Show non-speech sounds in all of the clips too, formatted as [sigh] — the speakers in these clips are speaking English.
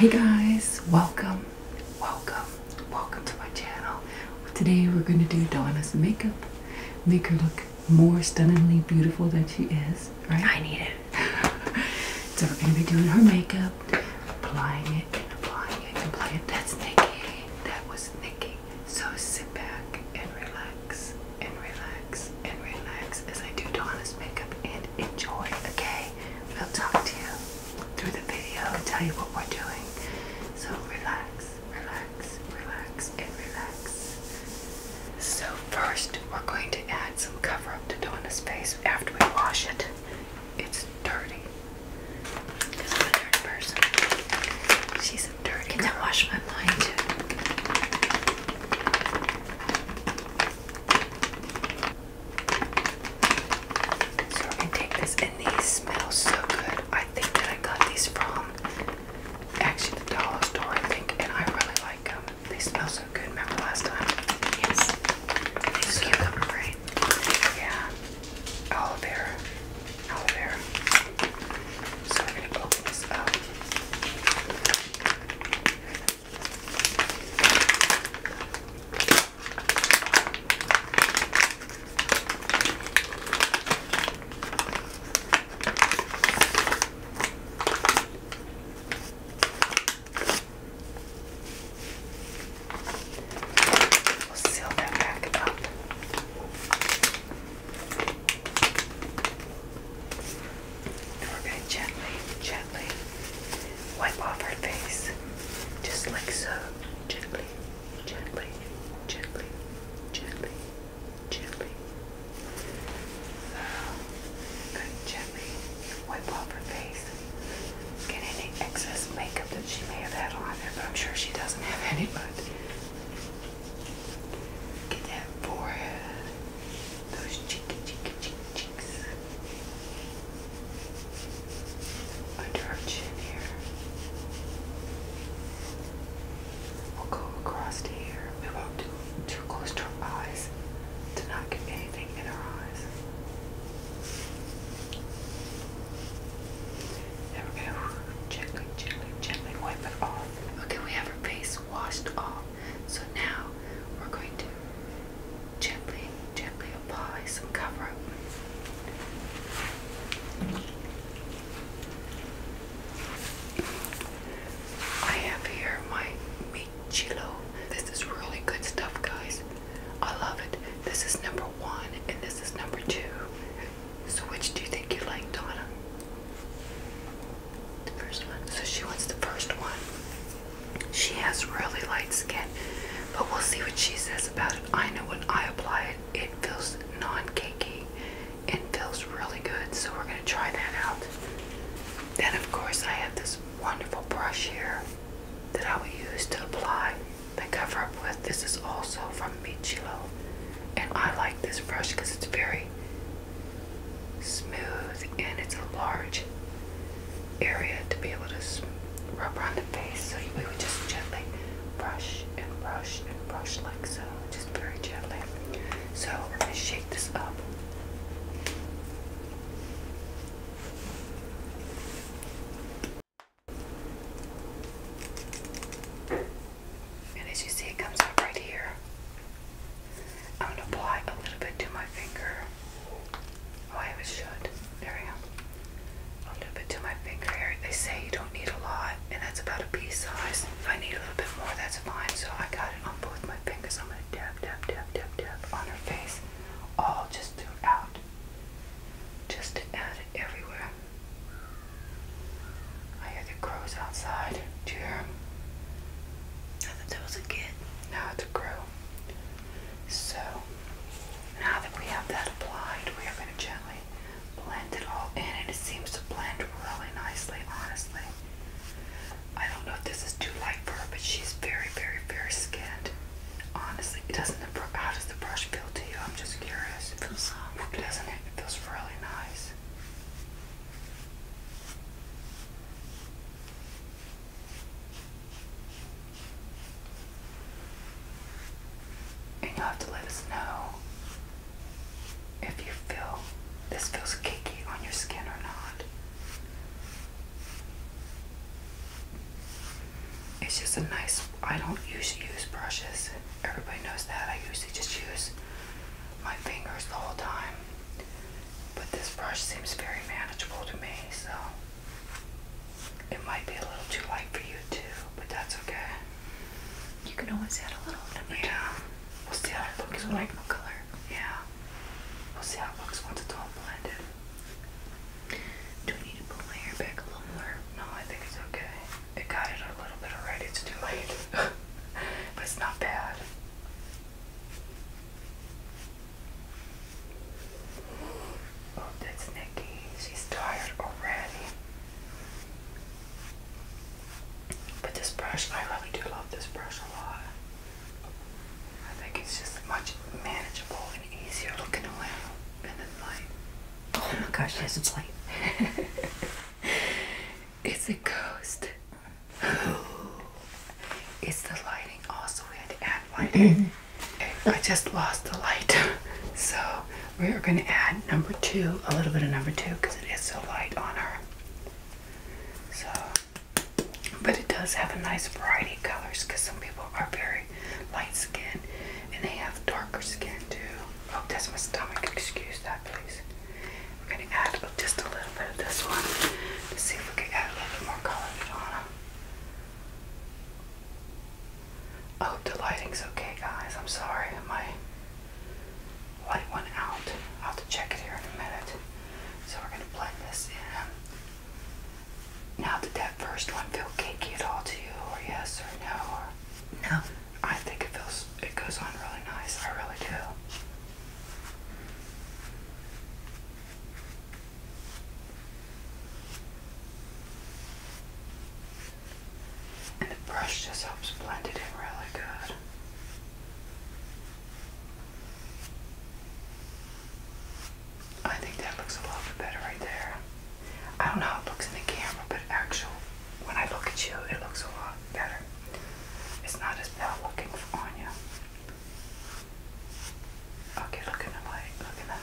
Hey guys, welcome, welcome, welcome to my channel. Today we're going to do Donna's makeup. Make her look more stunningly beautiful than she is, right? I need it. [laughs] so we're going to be doing her makeup, applying it and applying it and applying it. That's Nikki. That was Nikki. So sit back and relax and relax and relax as I do Donna's makeup and enjoy, okay? We'll talk to you through the video and tell you what we're doing. So relax, relax, relax, and relax. So first we're going to add some cover up to Donna's face after we wash it. It's dirty. Because I'm a nerd person. She's a dirty Can girl. wash my mind too? So we're gonna take this and these smell so good. I think that I got these from actually the dollar store I think and I really like them. They smell so good. Remember last time? Yes. These so cucumber, right? Yeah aloe vera. Aloe vera. So we're going to open this up. We'll seal that back up. we're going to gently, gently wipe off her face. Just like so. Gently, gently, gently, gently, gently. So, good gently wipe off her face. Get any excess makeup that she may have had on there, but I'm sure she doesn't have any get that forehead, those cheeky, cheeky, cheeky cheeks under our chin here. We'll go across here. We won't do too close to our eyes to not get anything in our eyes. There Gently, gently, gently wipe it off. Okay, we have our face washed off. So now we're going to gently, gently apply some cover up. I have here my meat This is really good stuff, guys. I love it. This is number one, and this is number two. So which do you think you like, Donna? The first one. So she wants the first one. She has really light skin, but we'll see what she says about it. I know when I apply it, it feels non-cakey it feels really good. So we're gonna try that out. Then of course I have this wonderful brush here that I will use to apply the cover up with. This is also from Michilo. And I like this brush because it's very smooth and it's a large area to be able to rub around the face. So we would just gently brush and brush and brush like so, just very gently. So we're going to shake this up. And as you see, it comes up right here. I'm going to apply a little bit to my finger. Oh, I always should. There we go. A little bit to my finger here. They say you don't need a lot, and that's about a pea size. If I need a little bit more, that's fine. So I got it on both my fingers. I'm going to dab, dab, dab, dab, dab on her face, all just throughout just to add it everywhere. I hear the crows outside. Do you hear them? I thought there was a kid. Now it's a crow. So, now that we have that applied, we are going to gently blend it all in, and it seems to blend really nicely, honestly. I don't know if this is too light for her, but she's very, very, very scared. Honestly, it doesn't how does the brush feel to you? I'm just curious. It feels soft, doesn't it? feels really nice. And you have to let us know if you feel this feels cakey on your skin or not. It's just a nice I don't usually use brushes. Everybody knows that. I usually just use my fingers the whole time. But this brush seems very manageable to me, so it might be a little too light for you too, but that's okay. You can always add a little more. Yeah. Two. We'll see how it looks when color. Yeah. We'll see how it looks once it's all blended. Do I need to pull my hair back a little more? No, I think it's okay. It got it a little bit already. It's too late. [laughs] but it's not bad. Oh, that's Nikki. She's tired already. But this brush, I really do love this brush a lot. I think it's just much manageable and easier looking to around and the like Oh my gosh, yes, it's light. it's a ghost. [gasps] it's the lighting also. We had to add lighting. I just lost the light. [laughs] So we are going to add number two, a little bit of number two, because it is so light on her. So, but it does have a nice variety of colors, because some people are very light skin, and they have darker skin too. Oh, that's my stomach. Excuse that, please. We're gonna add just a little bit of this one to see if we can add a little bit more color to Donna. I hope the lighting's okay, guys. I'm sorry, my light went out. I'll have to check it here in a minute. So we're gonna blend this in. Now, did that first one feel cakey at all to you, or yes or no, no. I think it feels it goes on really nice. I really do. And the brush just helps blend it in really good. I think that looks a lot better right there. I don't know how it looks in the camera, but actual when I look at you, it looks a lot better. It's not as bad looking on you. Okay, look in the light. Look in the.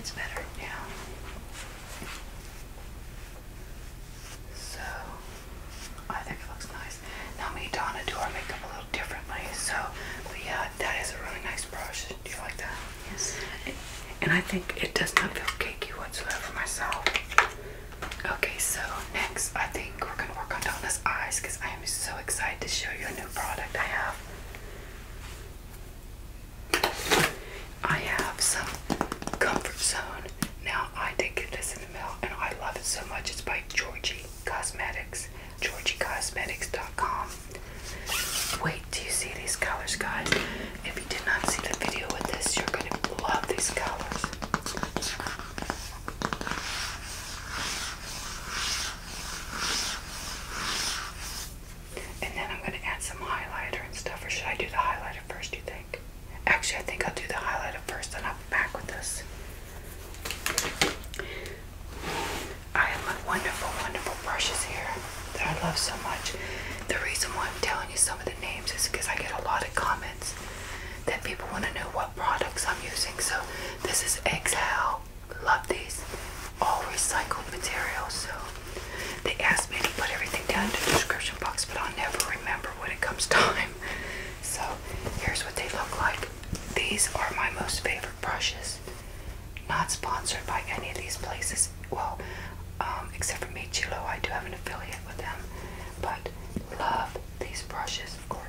It's better. Yeah. So I think it looks nice. Now me and Donna do our makeup a little differently. So, but yeah, that is a really nice brush. Do you like that? Yes. and I think it does not feel cakey whatsoever for myself. Okay, so next I think we're gonna work on Donna's eyes because I am so excited to show you a new product I have. I have some Comfort Zone. Now I did get this in the mail and I love it so much. It's by Georgie Cosmetics. GeorgieCosmetics.com. Wait, do you see these colors, guys? If you did not see the video with this, you're going to love these colors. And then I'm going to add some highlighter and stuff. Or should I do the highlighter first, you think? Actually, I think I'll do the highlighter first, and I'll be back with this. I have my wonderful, wonderful brushes here that I love so much. The reason why I'm telling you some of the names is because I get a lot of comments that people want to know what products I'm using. So this is Exhale. Love these. All recycled materials. So they asked me to put everything down in the description box, but I'll never remember when it comes [laughs] time. So here's what they look like. These are my most favorite brushes. Not sponsored by any of these places. Well, um, except for me, Chilo, I do have an affiliate with them. But love these brushes, of course.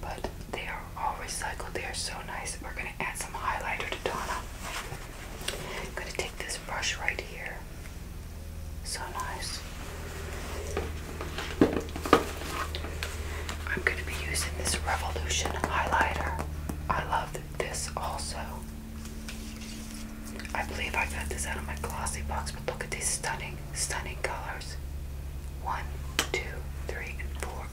But they are all recycled. They are so nice. We're gonna add some highlighter to Donna. I'm gonna take this brush right here. So nice. I'm going to be using this Revolution highlighter. I love this also. I believe I got this out of my glossy box, but look at these stunning, stunning colors. One, two, three,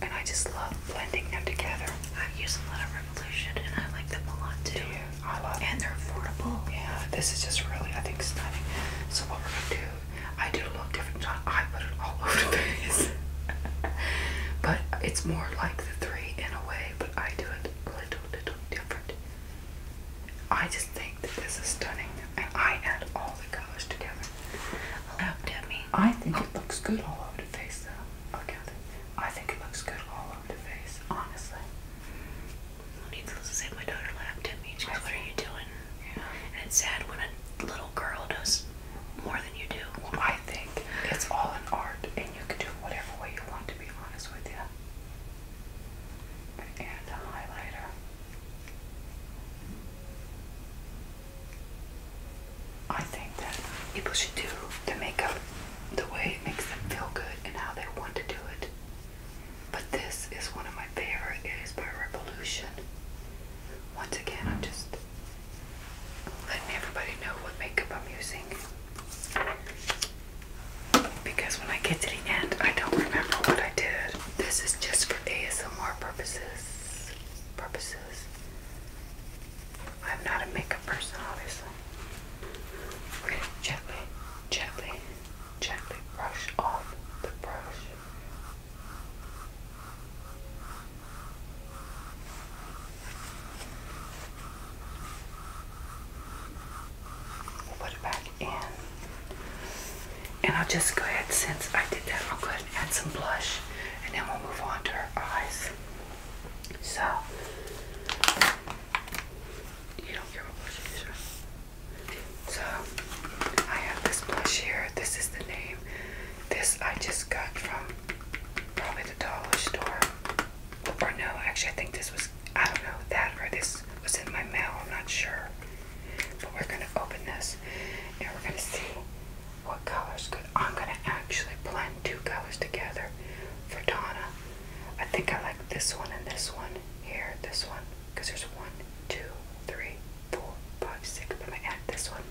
and I just love blending them together. i use a lot of Revolution and I like them a lot too. I love And they're affordable. Yeah, this is just really, I think, stunning. So, what we're gonna do, I did a little different job. I put it all [laughs] over the face. but it's more like the three in a way, but I do it a little, little different. I just think that this is stunning, and I add all the colors together. Looked at me. I think it looks good all over the face, though. Okay, I think it looks good all over the face, honestly. Needless to say, my daughter laughed at me. "What are you doing?" Yeah. And it's sad when a little girl does more than you do. Well, I think it's all an art, and you can do whatever way you want, to be honest with you. And a highlighter. I think that people should do the makeup the way it makes them feel good and how they want to do it. But this is one of my favorite. It is by Revolution. Once again, I'm just letting everybody know what makeup I'm using. Because when I get to the end, I don't remember what I did. This is just for ASMR purposes. Purposes. I'm not a makeup person, obviously. gently, gently, gently brush off the brush. Put it back in. And I'll just go ahead, since I did that, I'll go ahead and add some blush and then we'll move on to her eyes. So, you don't care what blush it is, right? So, I have this blush here. This is the name. This I just got from probably the dollar store. Or no, actually, I think this was, I don't know, that or this was in my mail. I'm not sure. But we're going to open this and we're going to see what color's good. I'm going to actually blend two colors together for Donna. I think I like this one and this one here, this one, because there's one, two, three, four, five, six. I'm going to add this one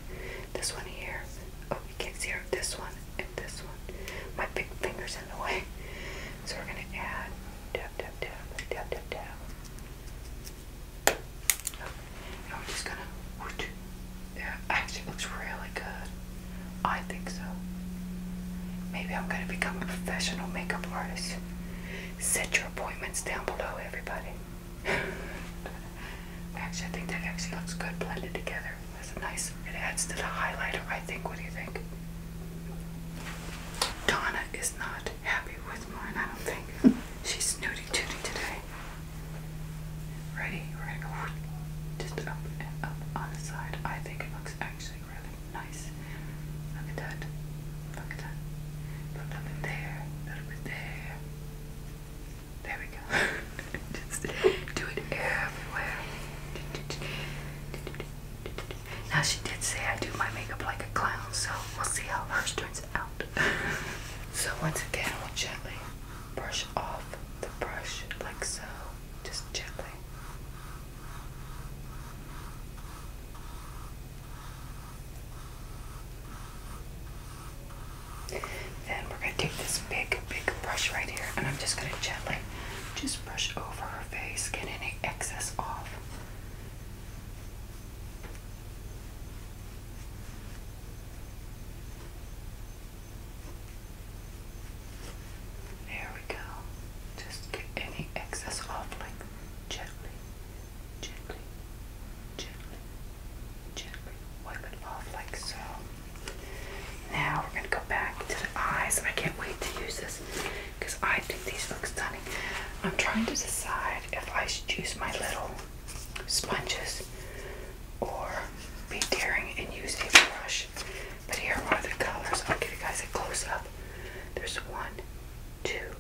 this one here. Oh, you can't see her. This one and this one. My big finger's in the way. [laughs] So we're gonna add tap tap tap tap tap tap. And we're just gonna. Yeah, actually, looks really good. I think so. Maybe I'm gonna become a professional makeup artist. Set your appointments down below, everybody. [laughs] actually, I think that actually looks good blended together. That's nice, it adds to the highlighter, I think. What do you think? Donna is not happy with mine, I don't think. [laughs] She's snooty tooty today. Ready? We're going up and up on the side. I think it looks actually really nice. Look at that. Look at that. Put a little bit there, a little bit there. There we go. [laughs] do it everywhere. Now she did say I do my makeup like a clown, so we'll see how hers turns out. so once again, we'll gently brush off the brush like so, just gently. Then we're going to take this big, big brush right here, and I'm just going to gently just brush over her face, get any excess off. There we go. Just get any excess off, like gently, gently, gently gently wipe it off like so. Now we're going to go back to the eyes. I can't wait to use this because I think these look stunning. I'm trying to decide if I should use my little sponges or be daring and use a brush. But here are the colors. I'll give you guys a close up. There's one, two,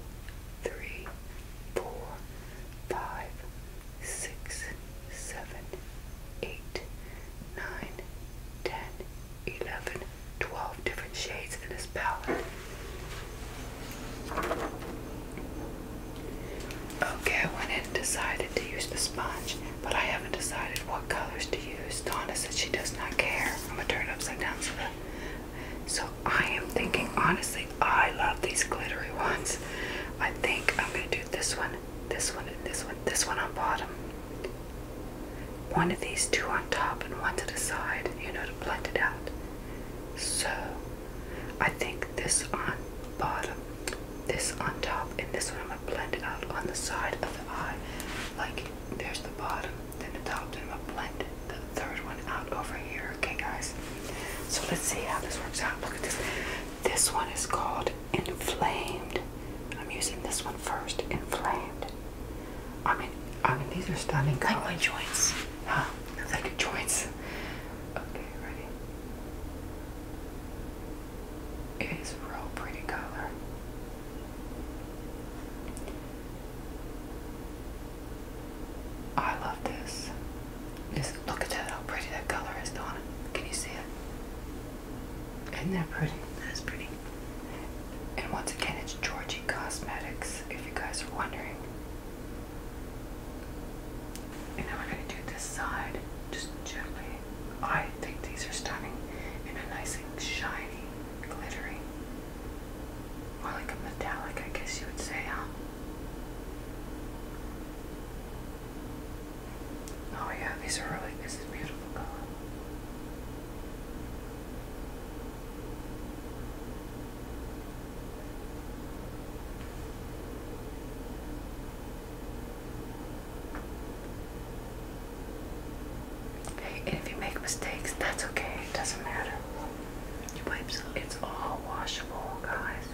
three, four, five, six, seven, eight, nine, ten, eleven, twelve different shades in this palette. Okay, I went and decided to use the sponge, but I haven't decided what colors to use. Donna said she does not care. I'm gonna turn it upside down so that. So I am thinking honestly I love these glittery ones. I think I'm going to do this one, this one, and this one, this one on bottom. One of these two on top and one to the side, you know, to blend it out. So I think this on bottom, this on top, and this one I'm going to blend it out on the side of the eye. Like there's the bottom, then the top, and I'm going to blend the third one out over here. Okay, guys. So let's see how this works out. Look at this. This one is called Inflamed. I'm using this one first. Inflamed. I mean, I mean these are stunning colors. Like joints. Huh? Like joints. Okay, ready. It is a real pretty color. I love this. Just look at that, how pretty that color is, Donna. Can you see it? Isn't that pretty? That is pretty. And once again, it's Georgie Cosmetics, if you guys are wondering. And now we're going to do this side, just gently. I think these are stunning and a nice and shiny, glittery. More like a metallic, I guess you would say, Oh yeah, these are really, this is beautiful color. Okay, and if you make mistakes, that's okay. It doesn't matter. Your wipes, it's all washable, guys.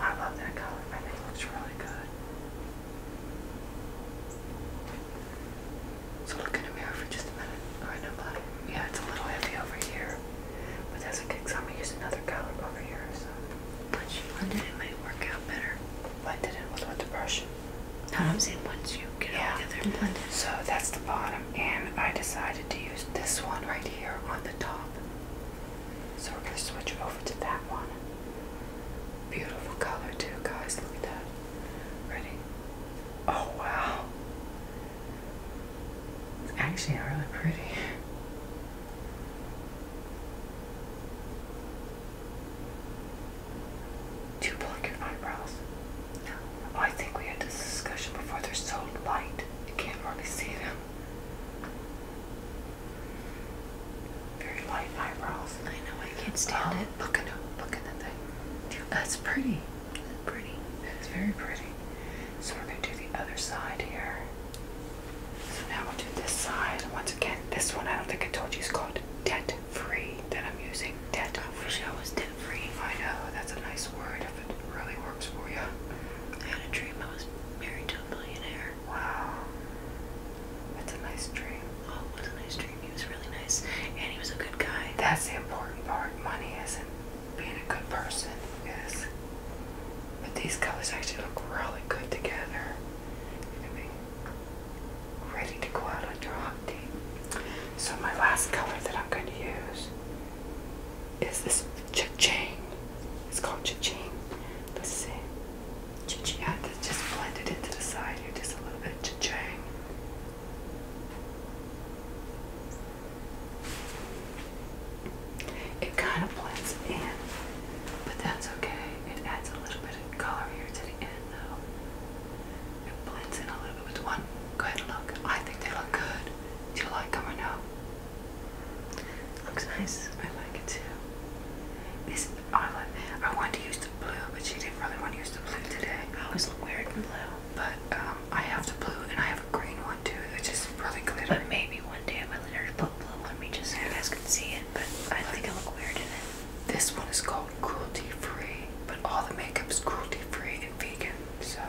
I love that color. I think it looks really good. So look in the mirror for just a minute. Alright, no Yeah, it's a little heavy over here. But that's okay because I'm going to use another color over here. So. Once you blend it, it might work out better. Blended it with what the brush? I'm saying once you get it together and blend it. So that's the bottom, and I decided to use this one right here on the top. So we're going to switch over to that one. Beautiful color, too, guys. Look at that. Ready? Oh, wow. It's actually really pretty. To pluck your eyebrows. No. I think we had this discussion before. They're so light, you can't really see them. Very light eyebrows. I know, I can't um, stand it. Look at them, look at the thing. That's pretty. That's pretty. It's very pretty. So we're going to do the other side here. So now we'll do this side. Once again, this one I don't think I told you is called debt free that I'm using. Debt free. I wish I was debt free. I know, that's a nice word if it really works for you. I had a dream I was married to a millionaire. Wow. That's a nice dream. Oh, it was a nice dream. He was really nice. And he was a good guy. That's the important part. Money isn't being a good person, is. But these colors actually look really good together ready to go out on your hunting. So my last color that I'm going to use is this cha-ching. It's called cha-ching. Let's see. Cha-ching. I just blended into the side here, just a little bit of cha-ching. It kind of blends in but that's okay. It adds a little bit of color here to the end though. It blends in a little bit with one. Go ahead and look. I think they look good. Do you like them or no? Looks nice. I like it too. This eyelid, I wanted to use the blue, but she didn't really want to use the blue today. I always look weird in blue. But um, I have the blue and I have a green one too. It's just really glitter. But maybe you guys can see it, but I think I look weird in it. This one is called cruelty free, but all the makeup is cruelty free and vegan. So,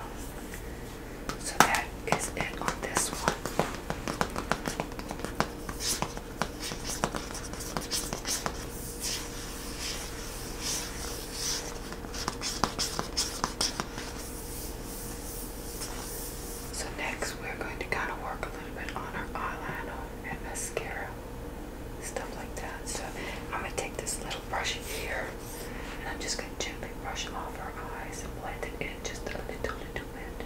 so that is it on this one. So next we're going to kind of work a little bit on our eyeliner and mascara, stuff like that. So I'm going to take this little brush here and I'm just going to gently brush off our eyes and blend it in just a little, little bit.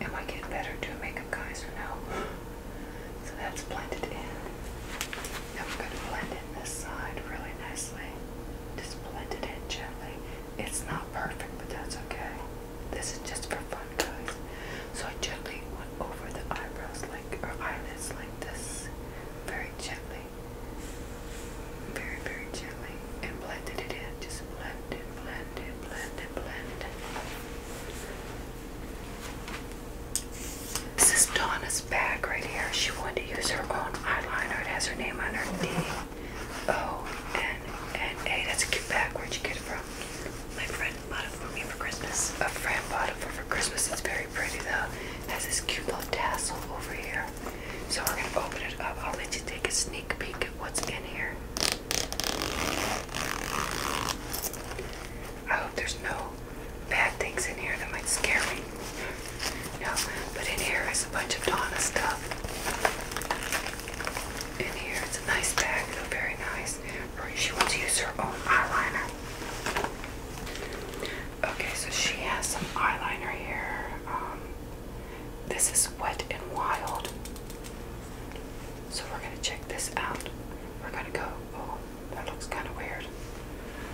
Am I getting better doing makeup guys or no? [gasps] So that's blended in. Now we going to blend this side really nicely. Just blend it in gently. It's not perfect, but that's okay. This is just for fun, guys. So I gently went over the eyebrows like or eyelids like this. Very gently. Very, very gently. And blended it in. Just blended, blended, blended, blended. This is Donna's this bag right here. She wanted to use her own eyeliner. It has her name on her D O N N A. That's a cute bag. Where'd you get it from? My friend bought it for me for Christmas. A friend bought it for, me for Christmas. It's very pretty though. It has this cute little tassel over here. So we're gonna open it up. I'll let you take a sneak peek at what's in here. I hope there's no bad things in here that might scare me. No, but in here is a bunch of Donna stuff. In here, it's a nice bag, though, very nice. She wants to use her own eyeliner. Okay, so she has some eyeliner here. Um, this is Wet and Wild. So we're going to check this out. We're going to go, oh, that looks kind of weird.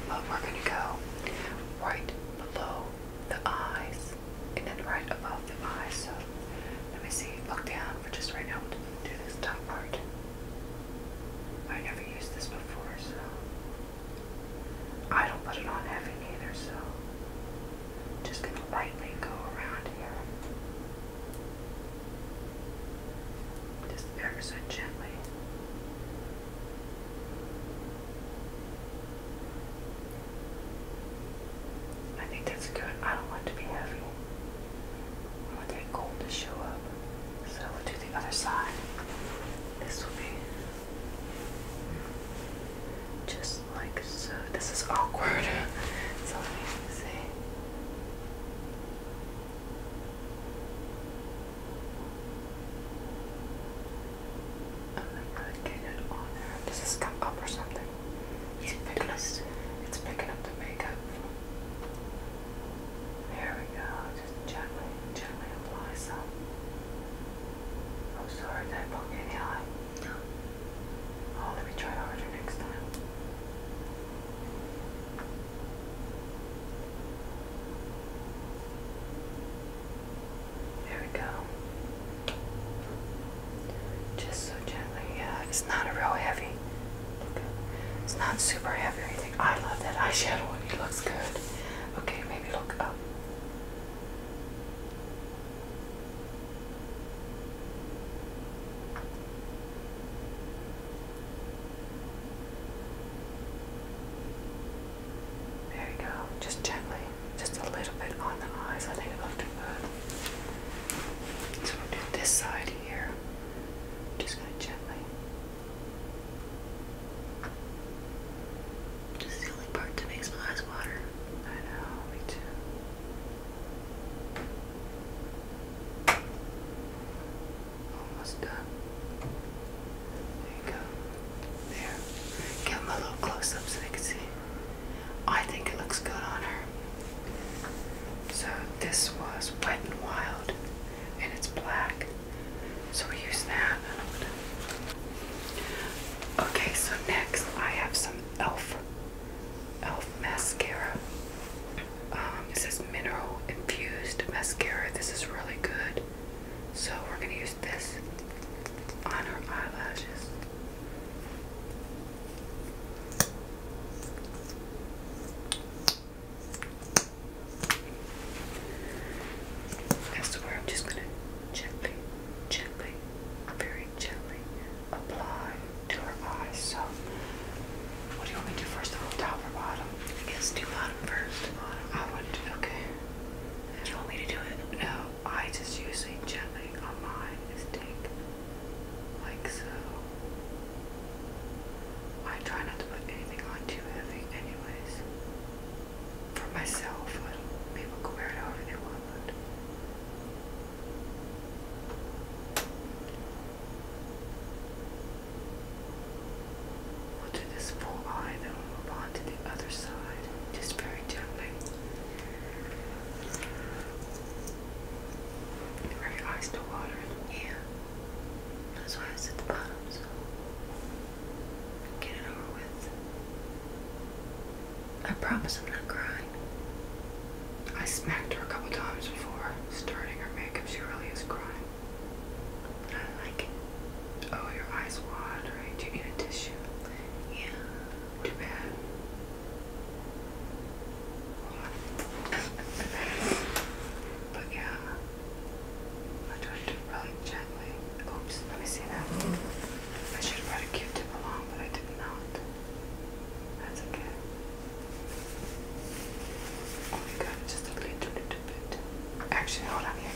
But we're going to go right below the eyes and then right above the eyes. So let me see, look down for just right now. do this top part. I never used this before, so I don't put it on heavy either, so just gonna lightly go around here. Just ever so gently. I think that's good. I don't want to be heavy. I want that gold to show up. So we'll do the other side. This will be just like so. This is awkward. [laughs] so let me see. I'm not it on there. This is come up or something. He's yeah, picking, it's picking up the makeup. There we go. Just gently, gently apply some. I'm oh, sorry, did I poke any eye? No. Oh, let me try harder next time. There we go. Just so gently, yeah. It's not a real heavy. It's not super heavy or anything. I love that eyeshadow. It looks good. Okay, maybe look up. There you go. Just gently. Just a little bit on the eyes. I think it'll do good. So we'll do this side here. Just gonna gently. This is the only part that makes my eyes water. I know, me too. Almost done. There you go. There. Give them a little close up so they can see. I think it looks good on her. So this was Wet and Wild and it's black. So we use that. Okay, so next I have some e.l.f. e.l.f. mascara. Um, it says mineral infused mascara. This is really good. So we're going to use this on our eyelashes. That's where I'm just going to gently, gently, very gently apply to her eyes. So, what do you want me to do first? The top or bottom? I guess do bottom first. I would, okay. Do you want me to do it? No, I just usually gently on mine is like so. I try not to put anything on too heavy anyways. For myself, people can wear it however they want, We'll do this full eye, then we'll move on to the other side, just very gently. Are your eyes still watering? Yeah. That's why it's at the bottom, get it over with. I promise I'm not crying. I smacked her a couple times before starting her makeup. She really is crying. I like it. Oh, your eyes water. Do you need a tissue? Yeah. Too bad. but yeah, I tried to really gently. Oops, let me see that. I should have brought a Q tip along, but I did not. That's okay. Oh my god, just a little bit. Actually, hold on, here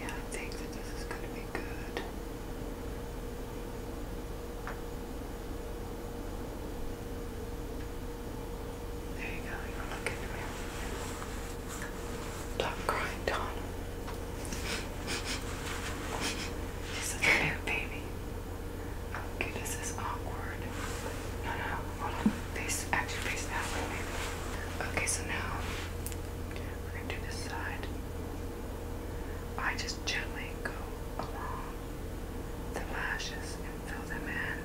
Yeah, I think that this is going to be good. There you go, you're looking at me. Stop crying, Don. She's a new baby. Okay, oh, this is awkward. No, no, hold on. Face, actually face that way, maybe. Okay, so now we're gonna do this side. I just gently go along the lashes and fill them in.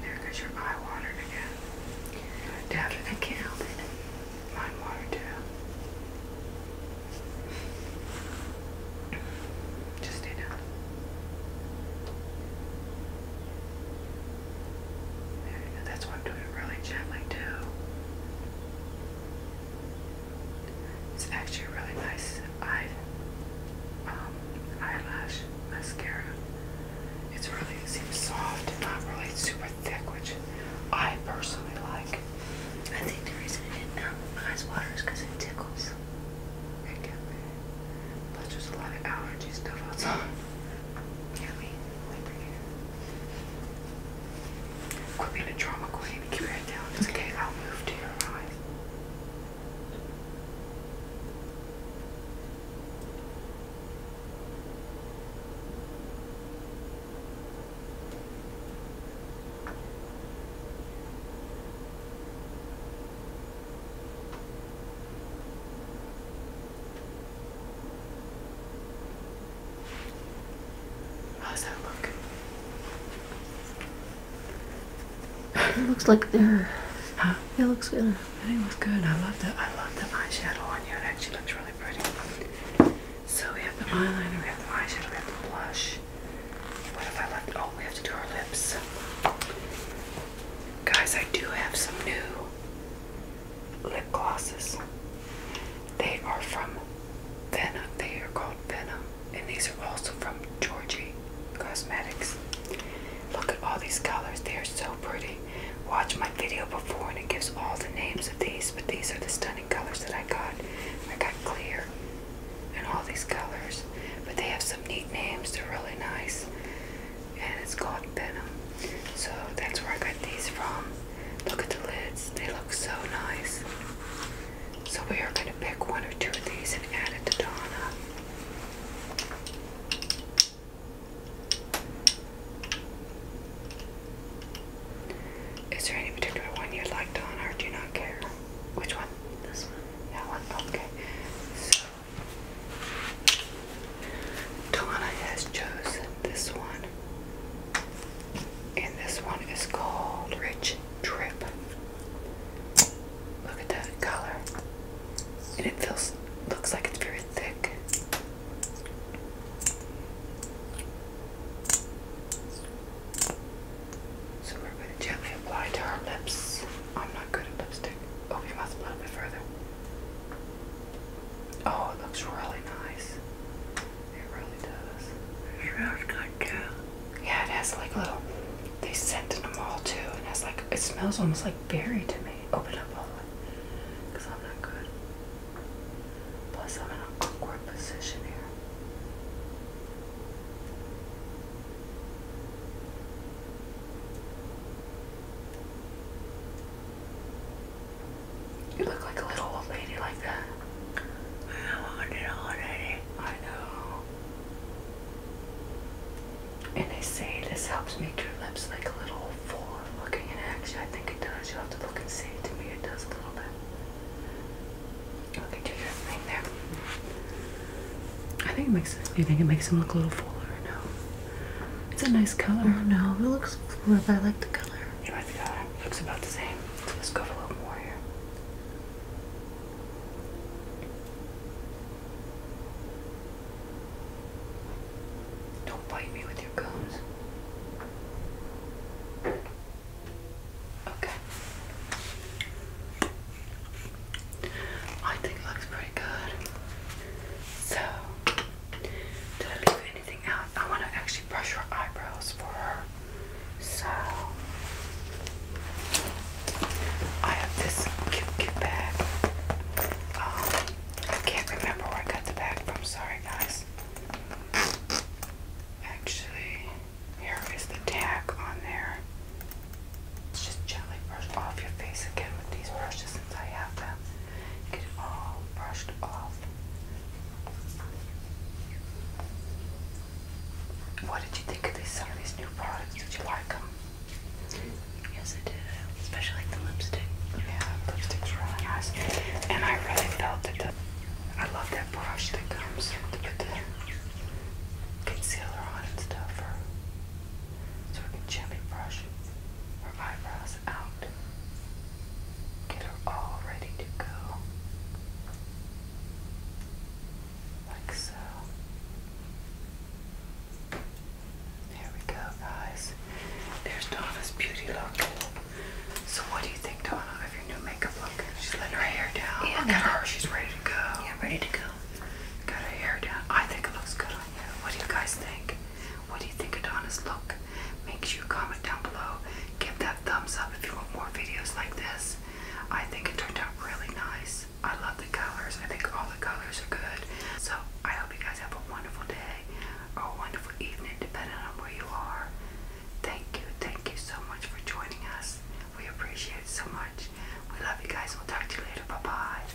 There goes your eye watered again. Dab it can't help it. Mine watered too. Just stay down. That's why I'm doing it really gently too. It's actually a really nice um, eyelash mascara. It's really it soft and not really super thick, which I personally like. I think the reason it didn't help my eyes water is because it tickles. It there's a lot of allergy stuff outside. Yeah, wait, wait right here. Quit being a drama queen. Keep your head down. okay. I'll move to your eyes. How does that look? it looks like they're. Huh? It looks good. I think it looks good. I love the I love the eyeshadow on you. It actually looks really pretty. So we have the eyeliner, we have the eyeshadow, we have the blush. What have I left? Oh, we have to do our lips. Guys, I do have some new lip glosses. They are from Venom. They are called Venom. And these are also from Georgie Cosmetics. Look at all these colors. They are so pretty. Watch my video before and it gives all the names of these. But these are the stunning colors that I got. I got clear and all these colors. But they have some neat names. They're really nice. And it's called Venom. So that's where I got these from. Look at the lids, they look so nice. So we are going to pick one or two of these and add it to Donna. Is there any particular one you'd like Donna? honor? Do you not care? Which one? This one. That one? Okay. So, Donna has chosen this one, and this one is called Rich Drip. Look at that color, and it feels looks like it's very thick. So we're going to gently apply to our lips. I'm not good at lipstick. Oh, you must a little bit further. Oh, it looks really nice. It really does. It smells good too. Yeah, it has like little. They in them all too, and has like it smells almost like berry to me. Open up all because I'm not good. Plus, I'm in an awkward position here. You look like a little old lady like that. I want it already. I know. And they say this helps make your lips like a little fuller looking, in action, I think it does. You'll have to look and see. To me it does a little bit. Okay, do your thing there. I think it makes you think it makes them look a little fuller, no? It's a nice color. Oh no, it looks fluid. I like the color. You like the color? looks about the same. let's go a little more here. Don't bite me with your gums. Okay. I think it looks pretty good. So, did I leave I want to actually brush her eyebrows for her. So I have this cute, cute bag. Um, I can't remember where I got the bag from. Sorry, guys. Actually, here is the tag on there. Let's just gently brush off your face again with these brushes since I have them. Get it all brushed off. What did you think of these, some of these new products? Did you like them? Yes, I did. Especially like the lipstick. Yeah, lipstick's really nice. And I really felt that the, I love that brush that comes to put the concealer on and stuff. for so we can gently brush eyebrows out. Get her all ready to go. Like so. There we go, guys. There's Donna's beauty look. So, what do you think, Donna, of your new makeup look? She's letting her hair down. Yeah, look her. She's ready to go. I'm ready to go. Got her hair down. I think it looks good on you. What do you guys think? What do you think of Donna's look? Make sure you comment down below. Give that thumbs up if you want more videos like this. I think it turned out really nice. I love the colors. I think all the colors are good. So I hope you guys have a wonderful day or a wonderful evening, depending on where you are. Thank you, thank you so much for joining us. We appreciate it so much. We love you guys. We'll talk to you later. Bye-bye.